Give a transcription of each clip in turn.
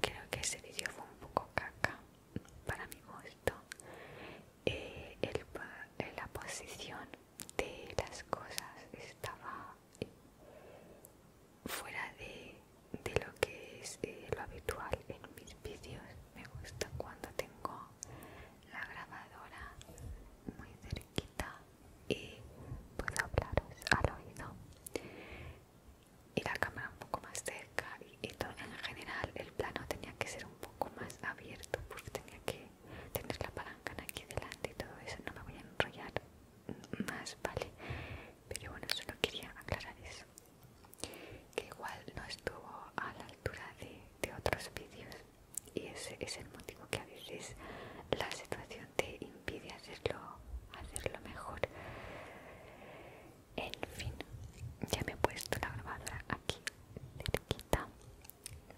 creo que ese vídeo fue un poco caca para mi gusto eh, eh, la posición de las cosas estaba eh, fuera de, lo que es lo habitual en mis vídeos me gusta cuando tengo la grabadora muy cerquita y puedo hablaros al oído y la cámara un poco más cerca y, todo, en general el plano tenía que ser un poco más abierto porque tenía que tener la palanca aquí delante y todo eso no me voy a enrollar más vale pero bueno solo quería aclarar eso que igual no estuvo a la altura de, otros vídeos y ese es el motivo que a veces la situación te impide hacerlo, hacerlo mejor. En fin, ya me he puesto la grabadora aquí cerquita,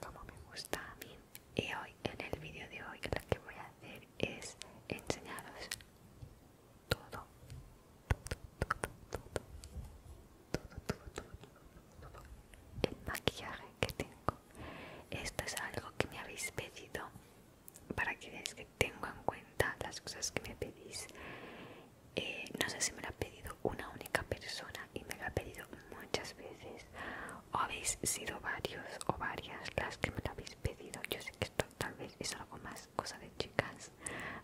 como me gusta a mí. Y hoy, en el vídeo de hoy, lo que voy a hacer es enseñaros todo, todo, todo, todo, todo, todo, todo el maquillaje que tengo. Esto es algo que me habéis pedido para que veáis que tengo en cuenta las cosas que me pedís. Eh, no sé si me lo ha pedido una única persona y me lo ha pedido muchas veces. O habéis sido varios o varias las que me lo habéis pedido. Yo sé que esto tal vez es algo más cosa de chicas.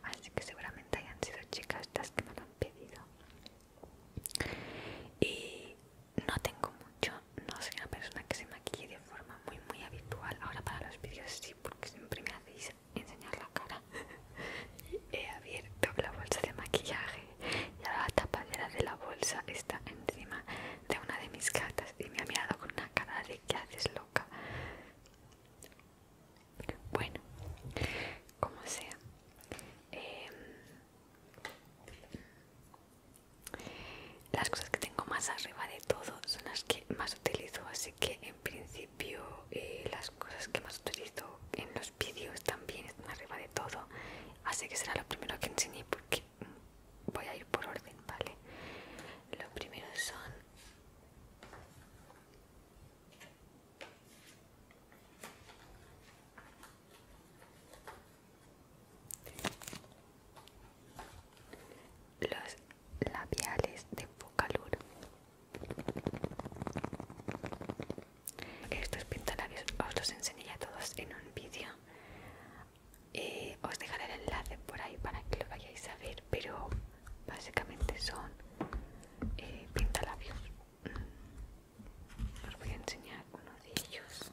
Así que seguramente hayan sido chicas las que me lo han pedido. Y no tengo mucho, no soy una persona que se maquille de forma muy muy habitual ahora para los vídeos sí porque siempre me hacéis enseñar la cara he abierto la bolsa de maquillaje y ahora la tapadera de la bolsa está encima de una de mis cartas y me ha mirado con una cara de que haces loca bueno como sea em, las cosas que tengo más arriba de todo son las que más utilizo, así que en principio eh, las cosas que más utilizo en los vídeos también están arriba de todo, así que será lo primero que enseñé porque voy a ir por orden, ¿vale? Lo primero son los labiales de Focalur estos pintalabios os los enseñé a todos en un vídeo eh, os dejaré el enlace por ahí para que lo vayáis a ver pero básicamente son eh, pintalabios mm. os voy a enseñar uno de ellos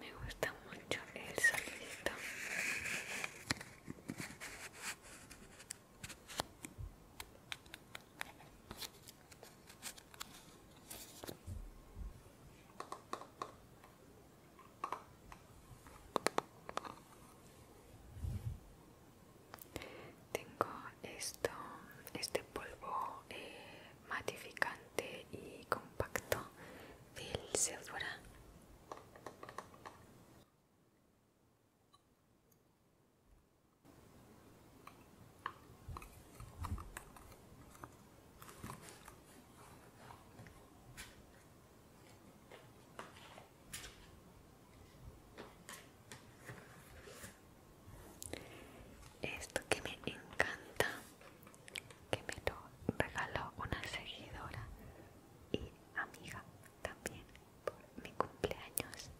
Me gusta mucho el salito. Tengo esto, este polvo eh, matificante y compacto del Sephora. Esto que me encanta, que me lo regaló una seguidora y amiga también por mi cumpleaños.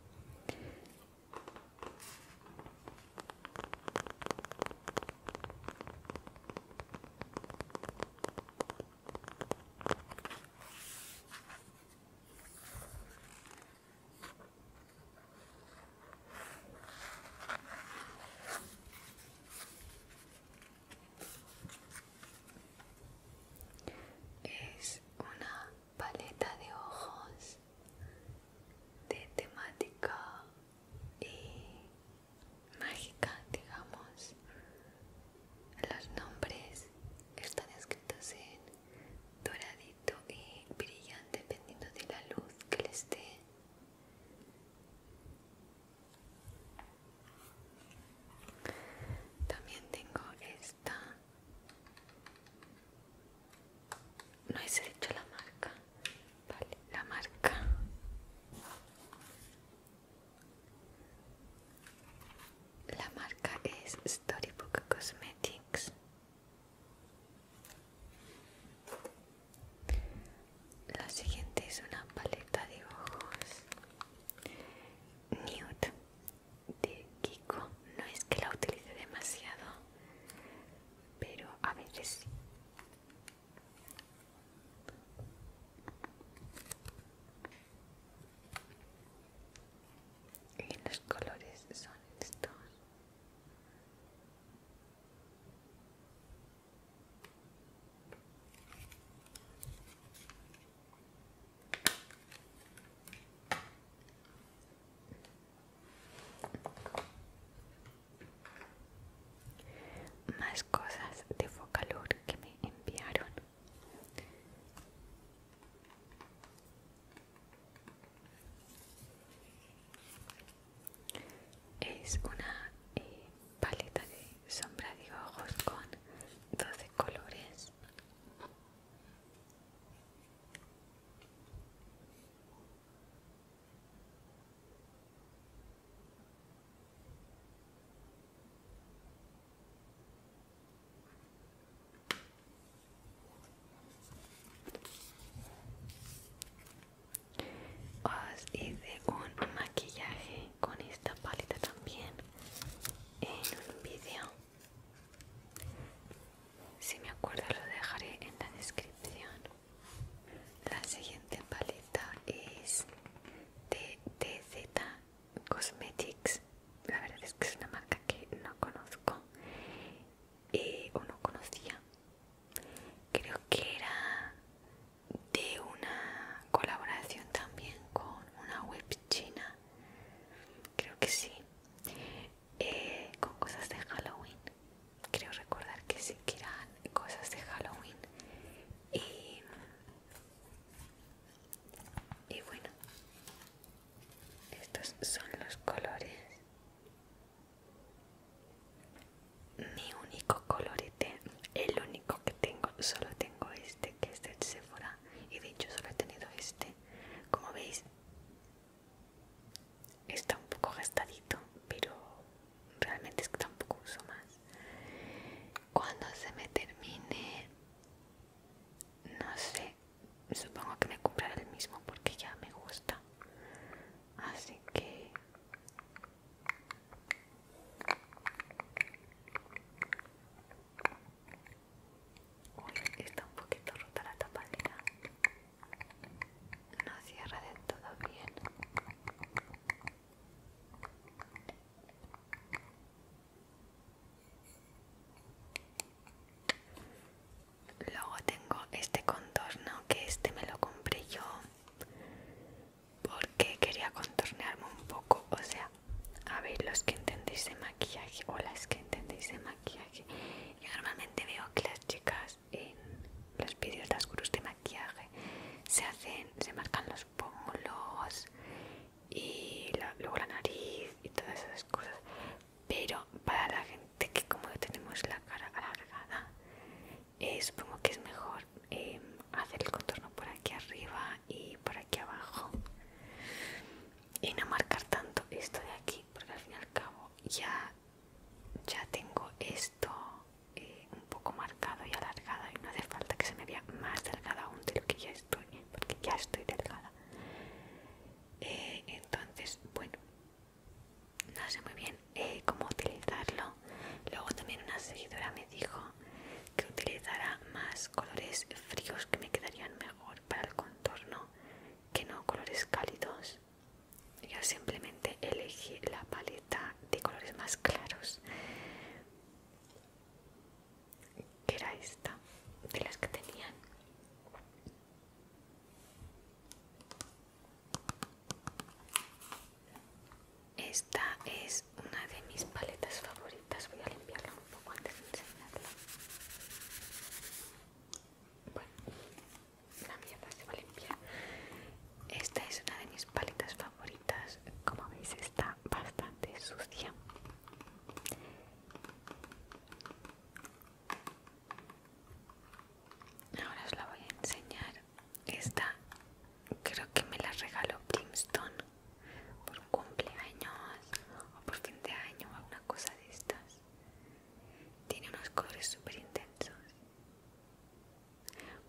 Es una paleta de ojos de temática y mágica, digamos. Los nombres están escritos en doradito y brillante dependiendo de la luz que les dé. También tengo esta. No he hecho la marca. Vale, la marca la marca es Storybook Cosmetics. La siguiente es una paleta de ojos Nude de Kiko. No es que la utilice demasiado, pero a veces sí y los colores son estos más cosas de Focalur que me enviaron. Es una eh, paleta de sombra de ojos con 12 colores. Os hice un maquillaje con esta paleta también en un vídeo. Si me acuerdo lo dejaré en la descripción. La siguiente paleta es de TZ Cosmetics. La verdad es que es una marca que no conozco eh, o no conocía. Creo que era de una colaboración también con una web china. Creo que sí. Eh, con cosas de Halloween quiero recordar que sí que cosas de Halloween y, bueno estos son los colores mi único colorete el único que tengo solo tengo este que es de Sephora y de hecho solo he tenido este como veis está un poco gastadito pero realmente es que tampoco uso más cuando se me termine no sé supongo que me compraré el mismo porque ya me gusta así que está un poquito rota la tapadera no cierra de todo bien luego tengo este contorno que este me lo compré yo porque quería contornearme un poco o sea a ver los que entendéis de maquillaje o las que entendéis de maquillaje yo normalmente veo que las chicas en los vídeos las curvas de maquillaje se hacen, se marcan los pómulos y luego la nariz y todas esas cosas pero para la gente que como tenemos la cara alargada es eh, supongo que es mejor eh, hacer el contorno por aquí arriba y por aquí abajo y no marcar tanto esto de aquí porque al fin y al cabo ya ya tengo esto eh, un poco marcado y alargado y no hace falta que se me vea más delgada aún de lo que ya estoy porque ya estoy delgada eh, entonces bueno no sé muy bien eh, cómo utilizarlo luego también una seguidora me dijo que utilizara más colores fríos que me quedarían mejor para el contorno que no colores cálidos yo simplemente elegí la paleta de colores más claros que era esta de las que tenían esta es una de mis paletas favoritas voy a limpiarla un poco antes de enseñarla bueno la mierda se va a limpiar esta es una de mis paletas favoritas como veis está bastante sucia ahora os la voy a enseñar esta creo que me la regaló Primston por cumpleaños o por fin de año o alguna cosa de estas tiene unos colores súper intensos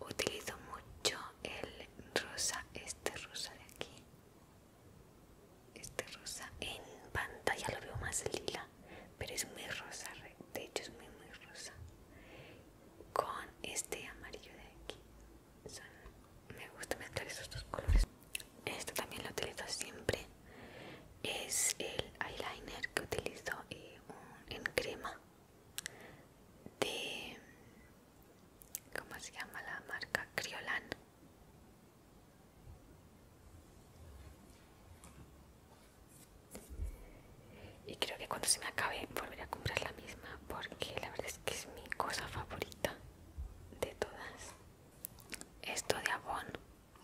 Utilizo mucho el rosa, este rosa de aquí. Este rosa en pantalla lo veo más lila, pero es muy rosa, de hecho es muy muy rosa. Con este amarillo de aquí. me gusta mezclar esos dos colores. Este también lo utilizo siempre. Es el eyeliner que utilizo y un, en crema de cómo se llama la marca Criolan y creo que cuando se me acabe volveré a comprar la misma porque la verdad es que es mi cosa favorita de todas esto de Avon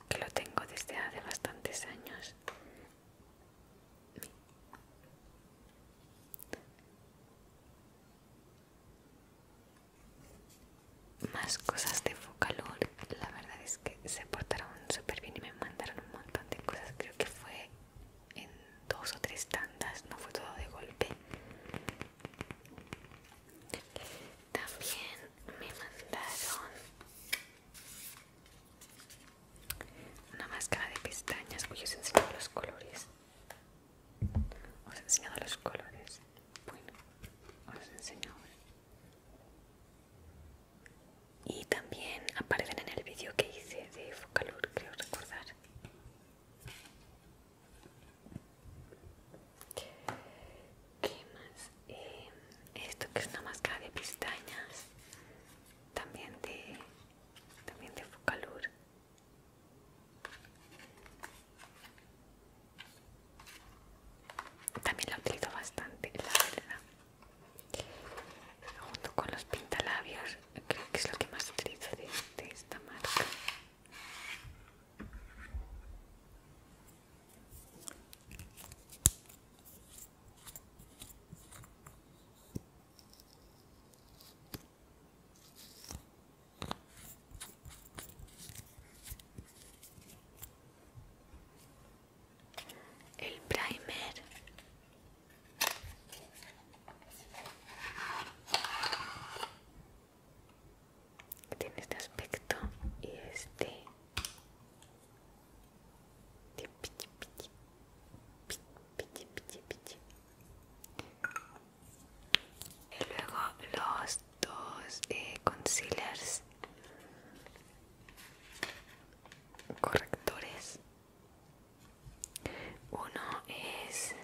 que lo tengo desde hace bastantes años. Más cosas de Focalor, la verdad es que se portaron súper bien y me mandaron un montón de cosas. Creo que fue en dos o tres tandas, no fue todo de golpe. También me mandaron una máscara de pestañas. voy os he enseñado los colores. Os he enseñado los colores. Bueno, os he enseñado. Y también aparecen en el vídeo que hice de Focalur, creo recordar. ¿Qué más? Eh, esto que es una máscara de pestañas, también de, también de Focalur. También la utilizo bastante, la verdad. Junto con los pintalabios, creo que es lo que más utilizo de esta marca. El primer tiene este aspecto y este y luego los dos eh, concealers correctores. Uno es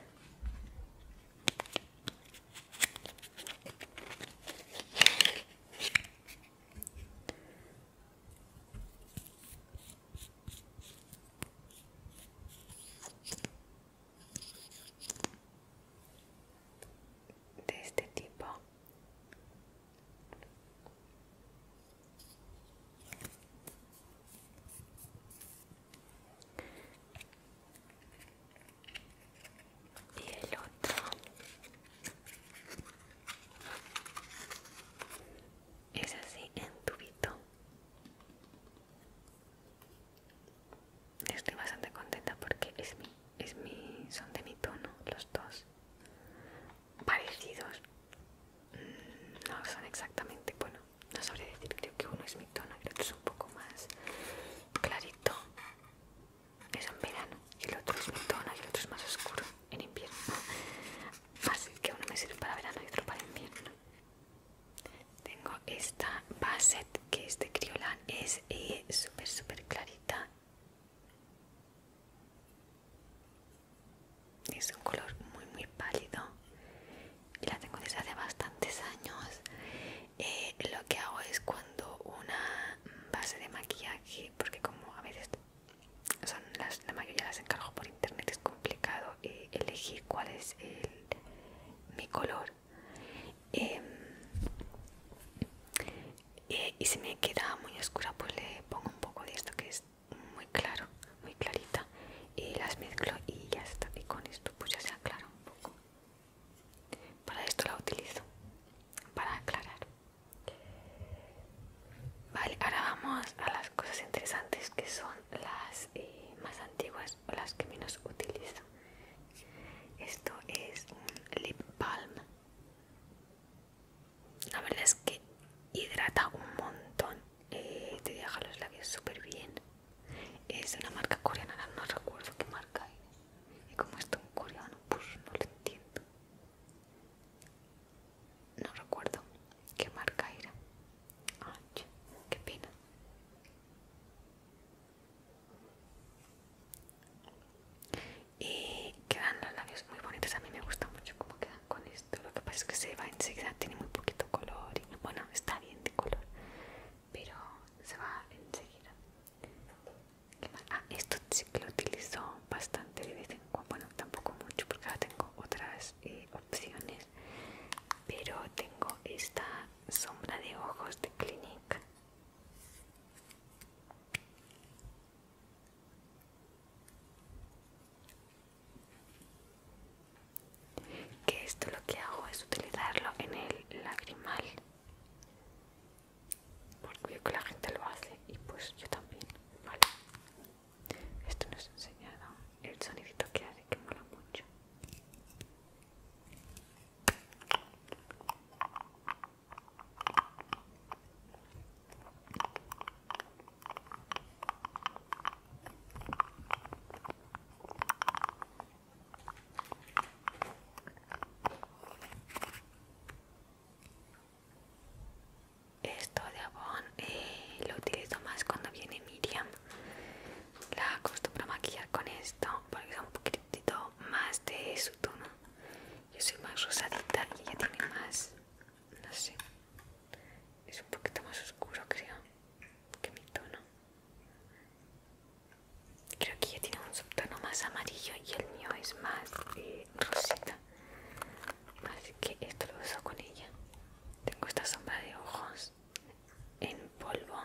de este tipo y el otro es así en tubito estoy bastante contenta porque es mi, son de mi tono los dos parecidos mm, no son exactamente bueno no sabría decir creo que uno es mi tono el otro es un poco más clarito es en verano y el otro es y el otro es más oscuro en invierno así que uno me sirve para verano y otro para invierno tengo esta base que es de es eh, súper súper clarita es un color muy muy pálido y la tengo desde hace bastantes años eh, lo que hago es cuando una base de maquillaje porque como a veces este, las, la mayoría las encargo por internet es complicado eh, elegir cuál es mi color em, eh, y si me queda muy oscura pues le pongo un poco de esto que es muy claro muy clarita y las mezclo y ya está y con esto pues ya se aclara un poco para esto la utilizo, para aclarar. Vale, ahora vamos a las cosas interesantes que son las eh, más antiguas o las que menos utilizo. Esto es un lip balm. La verdad es que hidrata un montón, eh, te deja los labios súper bien. Es una marca coreana, no recuerdo qué marca es. Y como esto en coreano, pues no lo entiendo. No recuerdo qué marca era. Ah, qué pena. Y quedan los labios muy bonitos. A mí me gusta mucho cómo quedan con esto. Lo que pasa es que se va enseguida, tiene muy poquito color. Y, bueno, está bien de color, pero se va enseguida. Ah, esto sí que lo utilizo bastante de vez en cuando, bueno, tampoco mucho porque ahora tengo otras eh, opciones, pero tengo esta sombra de ojos de Clinique. Que esto lo que hago es utilizarlo en el lagrimal porque que la gente lo hace y pues yo también, ¿vale? Esto nos ha enseñado el sonidito que hace, que mola mucho. Esto de abón eh, lo utilizo más cuando viene Miriam. La acostumbro a maquillar con esto porque da un poquitito más de su tono. Yo soy más rosadita y ella tiene más, no sé, es un poquito más oscuro creo que mi tono creo que ella tiene un subtono más amarillo y el mío es más eh, rosita así que esto lo uso con ella tengo esta sombra de ojos en polvo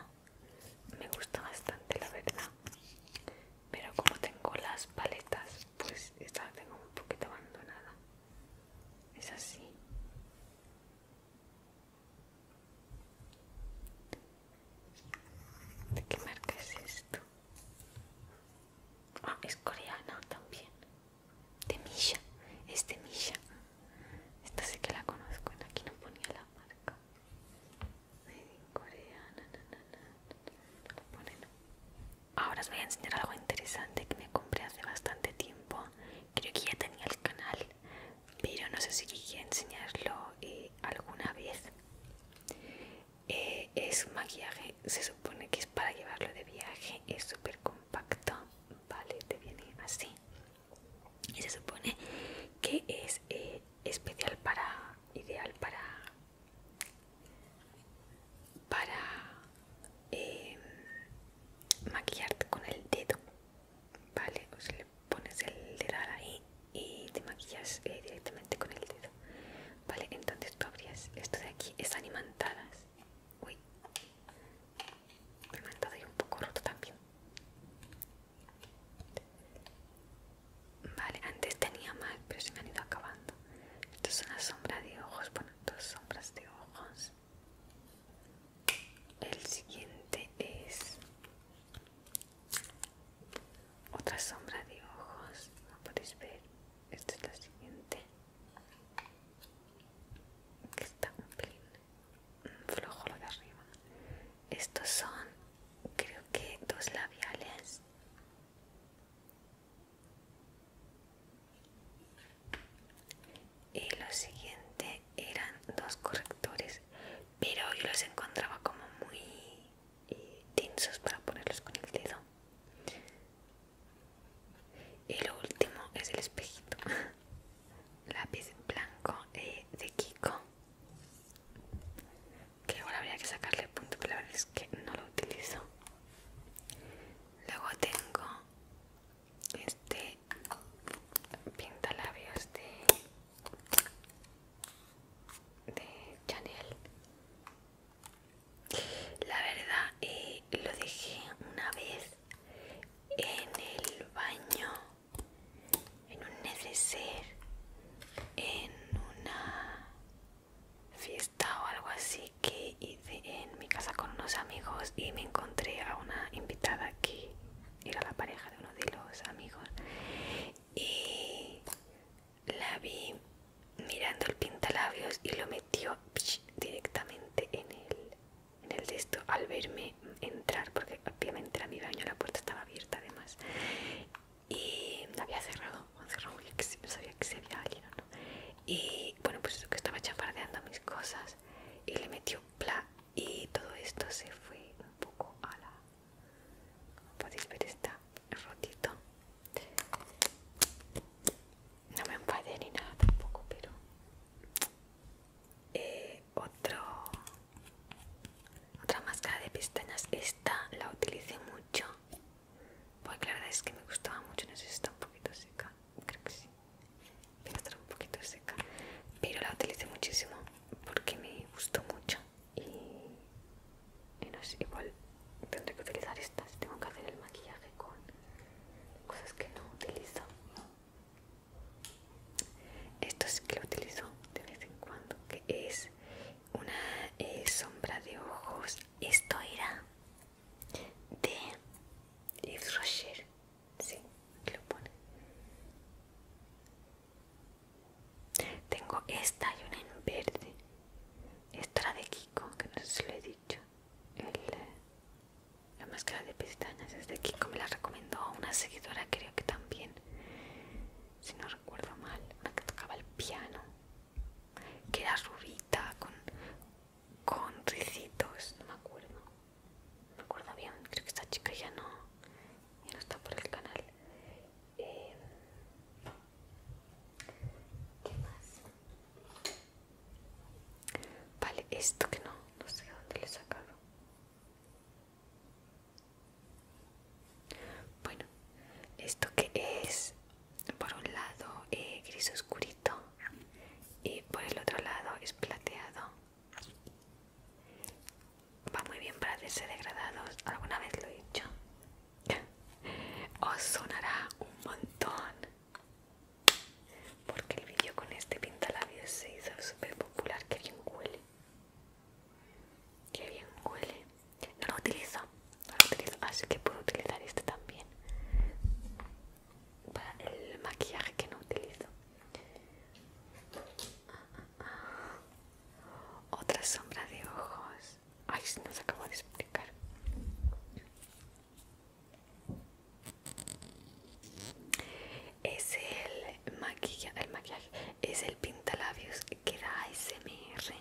me gusta bastante la verdad pero como tengo las paletas pues esta la tengo un poquito abandonada es así ¿De qué marca es esto? Ah, es coreana también. De Misha. Es de Misha. Esta sí que la conozco. Aquí no ponía la marca. coreana. Ahora os voy a enseñar algo interesante que me compré hace bastante tiempo. Creo que ya tenía el canal, pero no sé si quería enseñarlo eh, alguna vez. es eh, es maquillaje, se supone que es para llevarlo de viaje, es súper compacto, vale, te viene así. Y se supone que es eh, especial para, ideal para, para maquillarte con el dedo, vale, pones el dedal ahí y te maquillas eh, directamente con el dedo. Vale, entonces tú abrías esto de aquí, es animantadas. Uy, me y un poco roto también. Vale, antes tenía mal, pero se me han ido acabando. Esto es una sombra de ojos, bueno, dos sombras de ojos. El siguiente es otra sombra de ojos no podéis ver esto es lo siguiente que está un pelín flojo lo de arriba estos son creo que dos labiales y lo siguiente eran dos correctores pero yo los encontraba como muy eh, tensos para ponerlos con el dedo. Y lo último es el espejito, lápiz blanco eh, de Kiko, que ahora habría que sacarle el punto, pero la verdad es que no lo utilizo. Luego tengo este pintalabios de de Chanel la verdad eh, lo dejé una vez en el baño en un neceser en una fiesta o algo así que hice en mi casa con unos amigos y me encontré a una invitada aquí era la pareja de uno de los amigos y la vi mirando el pintalabios y lo metió directamente en el, en al verme entrar porque obviamente era mi baño, la puerta estaba abierta además y la había cerrado, no sabía que se había alguien o no y bueno pues que estaba chapardeando mis cosas y le metió pla y todo esto se fue un poco a la como podéis ver está rotito. No me empade ni nada tampoco, pero eh, otro otra máscara de pestañas. Esta la utilicé mucho. Porque la verdad es que me gustaba mucho. No sé si está un poquito seca. Creo que sí. Pero está un poquito seca. Pero la utilicé muchísimo porque me gustó mucho y, no sé, igual tendré que utilizar estas tengo que hacer el maquillaje con cosas que no utilizo esto sí que lo utilizo de vez en cuando que es una eh, sombra de ojos esto era de Yves Rocher Sí, lo pone. Tengo esta y una en verde. Esta era de Kiko, que no sé si lo he dicho. la máscara de pestañas es de Kiko, me la recomendó una seguidora, creo que también. Si no recuerdo mal, una que tocaba el piano. Que era rubita, con, con ricitos, no me acuerdo me acuerdo bien, creo que esta chica ya no, no está por el canal. Em, ¿Qué más? Vale, esto que no, no sé dónde le he sacado. Bueno, esto que es por un lado eh, gris oscurito y por el otro lado es plateado Va muy bien para hacerse degradados. ¿Alguna vez lo he hecho? Os sonará un montón. Porque el vídeo con este pintalabios se hizo súper popular. Que bien huele. Que bien huele. No lo utilizo. Así ah, que puedo utilizar este también. Para el maquillaje que no utilizo. Otra sombra de ojos. Ay, se nos acabó de explicar. Es el maquillaje, el maquillaje, es el pintalabios que da ASMR.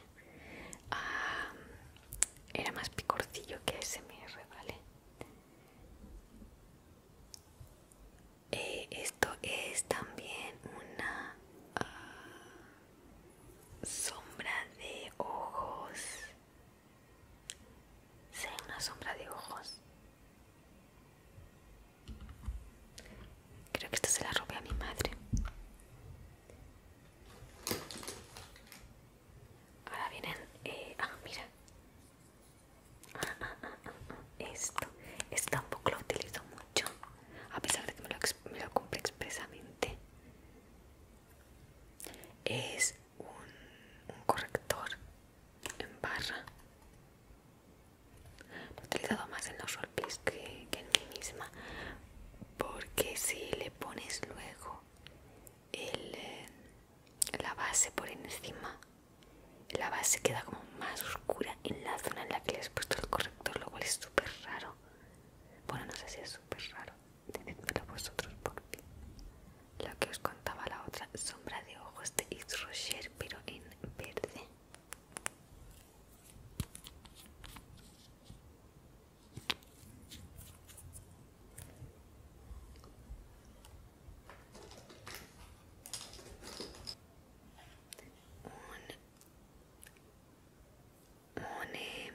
era más picorcillo que ASMR, ¿vale? Eh, esto es también una ah, sombra de ojos Sí, una sombra de ojos creo que esto se la robé a mi madre ahora vienen eh, ah mira esto, tampoco lo utilizo mucho, a pesar de que me lo, cumple compré expresamente. Es un, corrector en barra. Lo he utilizado más en los roleplays que, que en mí misma, porque si le pones luego el, eh, la base por encima la base queda como más oscura en la zona en la que les he puesto el corrector lo cual es súper raro bueno no sé si es súper raro decidmelo vosotros porque lo que os contaba la otra sombra de ojos de Yves Rocher pero en verde un, em,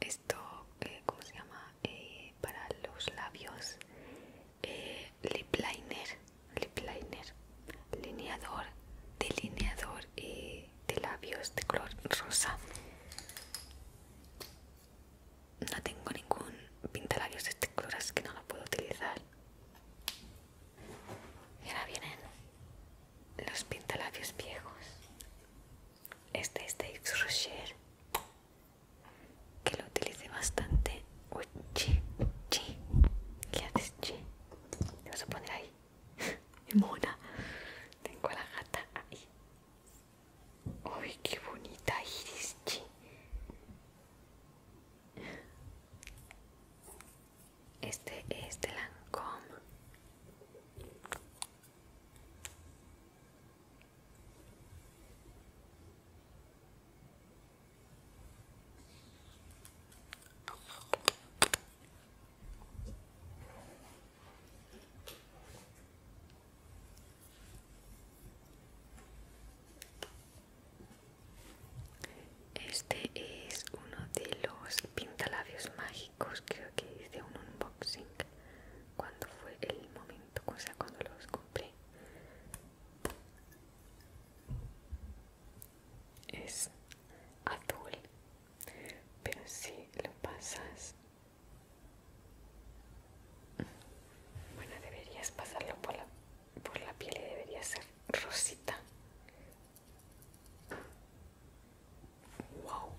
esto eh, cómo se llama eh, para los labios eh, lip liner lip liner lineador delineador de labios de color rosa no tengo ningún pintalabios de este color que no lo puedo utilizar y ahora vienen los pintalabios viejos este es de Yves Rocher que lo utilicé bastante uy chi chi ¿qué haces chi? te vas a poner ahí mona tengo a la gata ahí Uy, qué bonita iris, Este es de Lancôme. Este es uno de los pintalabios mágicos, creo que hice un unboxing cuando fue el momento, o sea, cuando los compré. Es azul, pero si lo pasas bueno, deberías pasarlo por la, por la piel y debería ser rosita. Wow.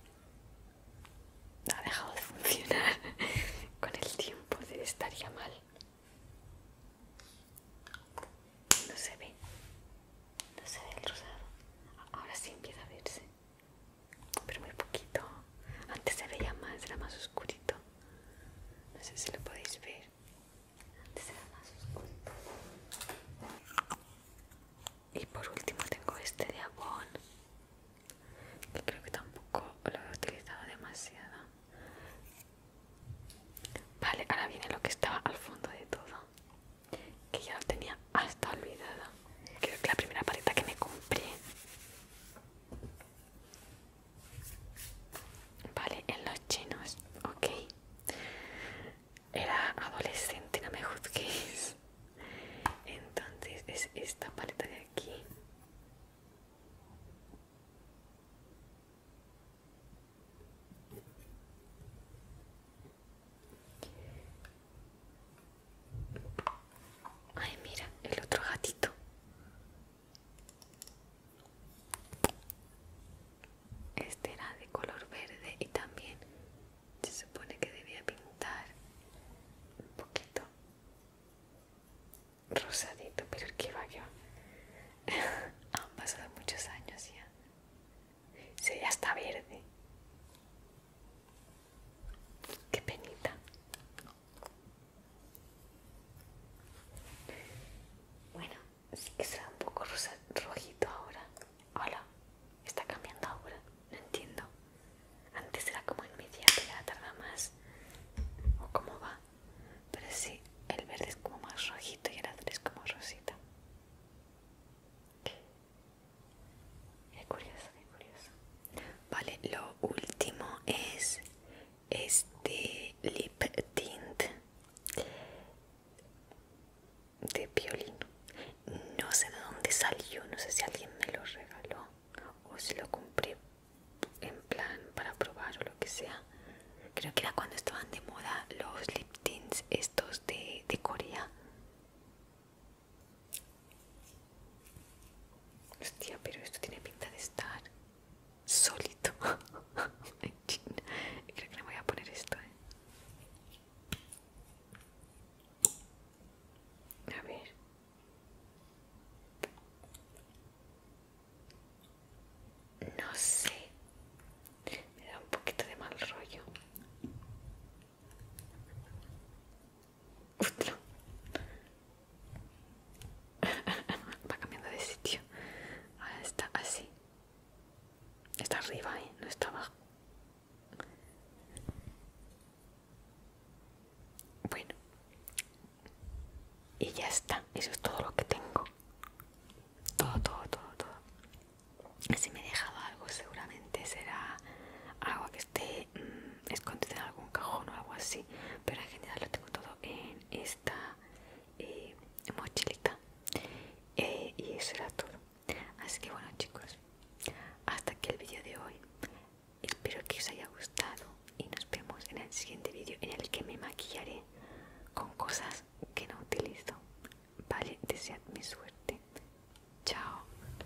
No ha dejado de funcionar. Con el tiempo estaría mal. No se ve. No se ve el rosado. Ahora sí empieza a verse pero muy poquito. Antes se veía más, era más oscurito. No sé si lo podéis ver. Antes era más oscurito. Y por último tengo este de Abón. que creo que tampoco lo he utilizado demasiado. Vale, ahora viene lo que estaba al fondo de todo, que ya lo tenía hasta olvidado. Creo que la primera paleta que me compré Vale, en los chinos, ok. Era adolescente, no me juzguéis. Entonces es esta paleta de aquí. Ay, mira, el otro gatito. Este era de color verde y también se supone que debía pintar un poquito rosadito, pero el que va yo. Han pasado muchos años ya. se ya está verde. Qué penita. Bueno, sí que será un poco rojito ahora. Hola, está cambiando ahora. No entiendo. Antes era como en media, ahora tarda más. ¿O cómo va? Pero sí, el verde es como más rojito y el azul es como rosita. Qué curioso, qué curioso. Vale, lo último es este lip tint de violino No sé de dónde salió, no sé si alguien me lo regaló o si lo compré en plan para probar o lo que sea. Creo que era cuando estaban de moda los lip tints estos de, de Corea. Hostia, pero esto tiene pinta de estar solito. Creo que le voy a poner esto, ¿eh? A ver. No sé. Me da un poquito de mal rollo. Va cambiando de sitio. Ahora está así. Está arriba, ¿eh? No está abajo. Bueno. Y ya está. Eso es todo lo que tengo. Todo, todo, todo, todo. Si me he dejado algo seguramente será agua que esté... Mm, escondido en algún cajón o algo así pero en general lo tengo todo en esta eh, mochilita eh, y eso era todo así que bueno chicos hasta aquí el vídeo de hoy espero que os haya gustado y nos vemos en el siguiente vídeo en el que me maquillaré con cosas que no utilizo vale mi suerte chao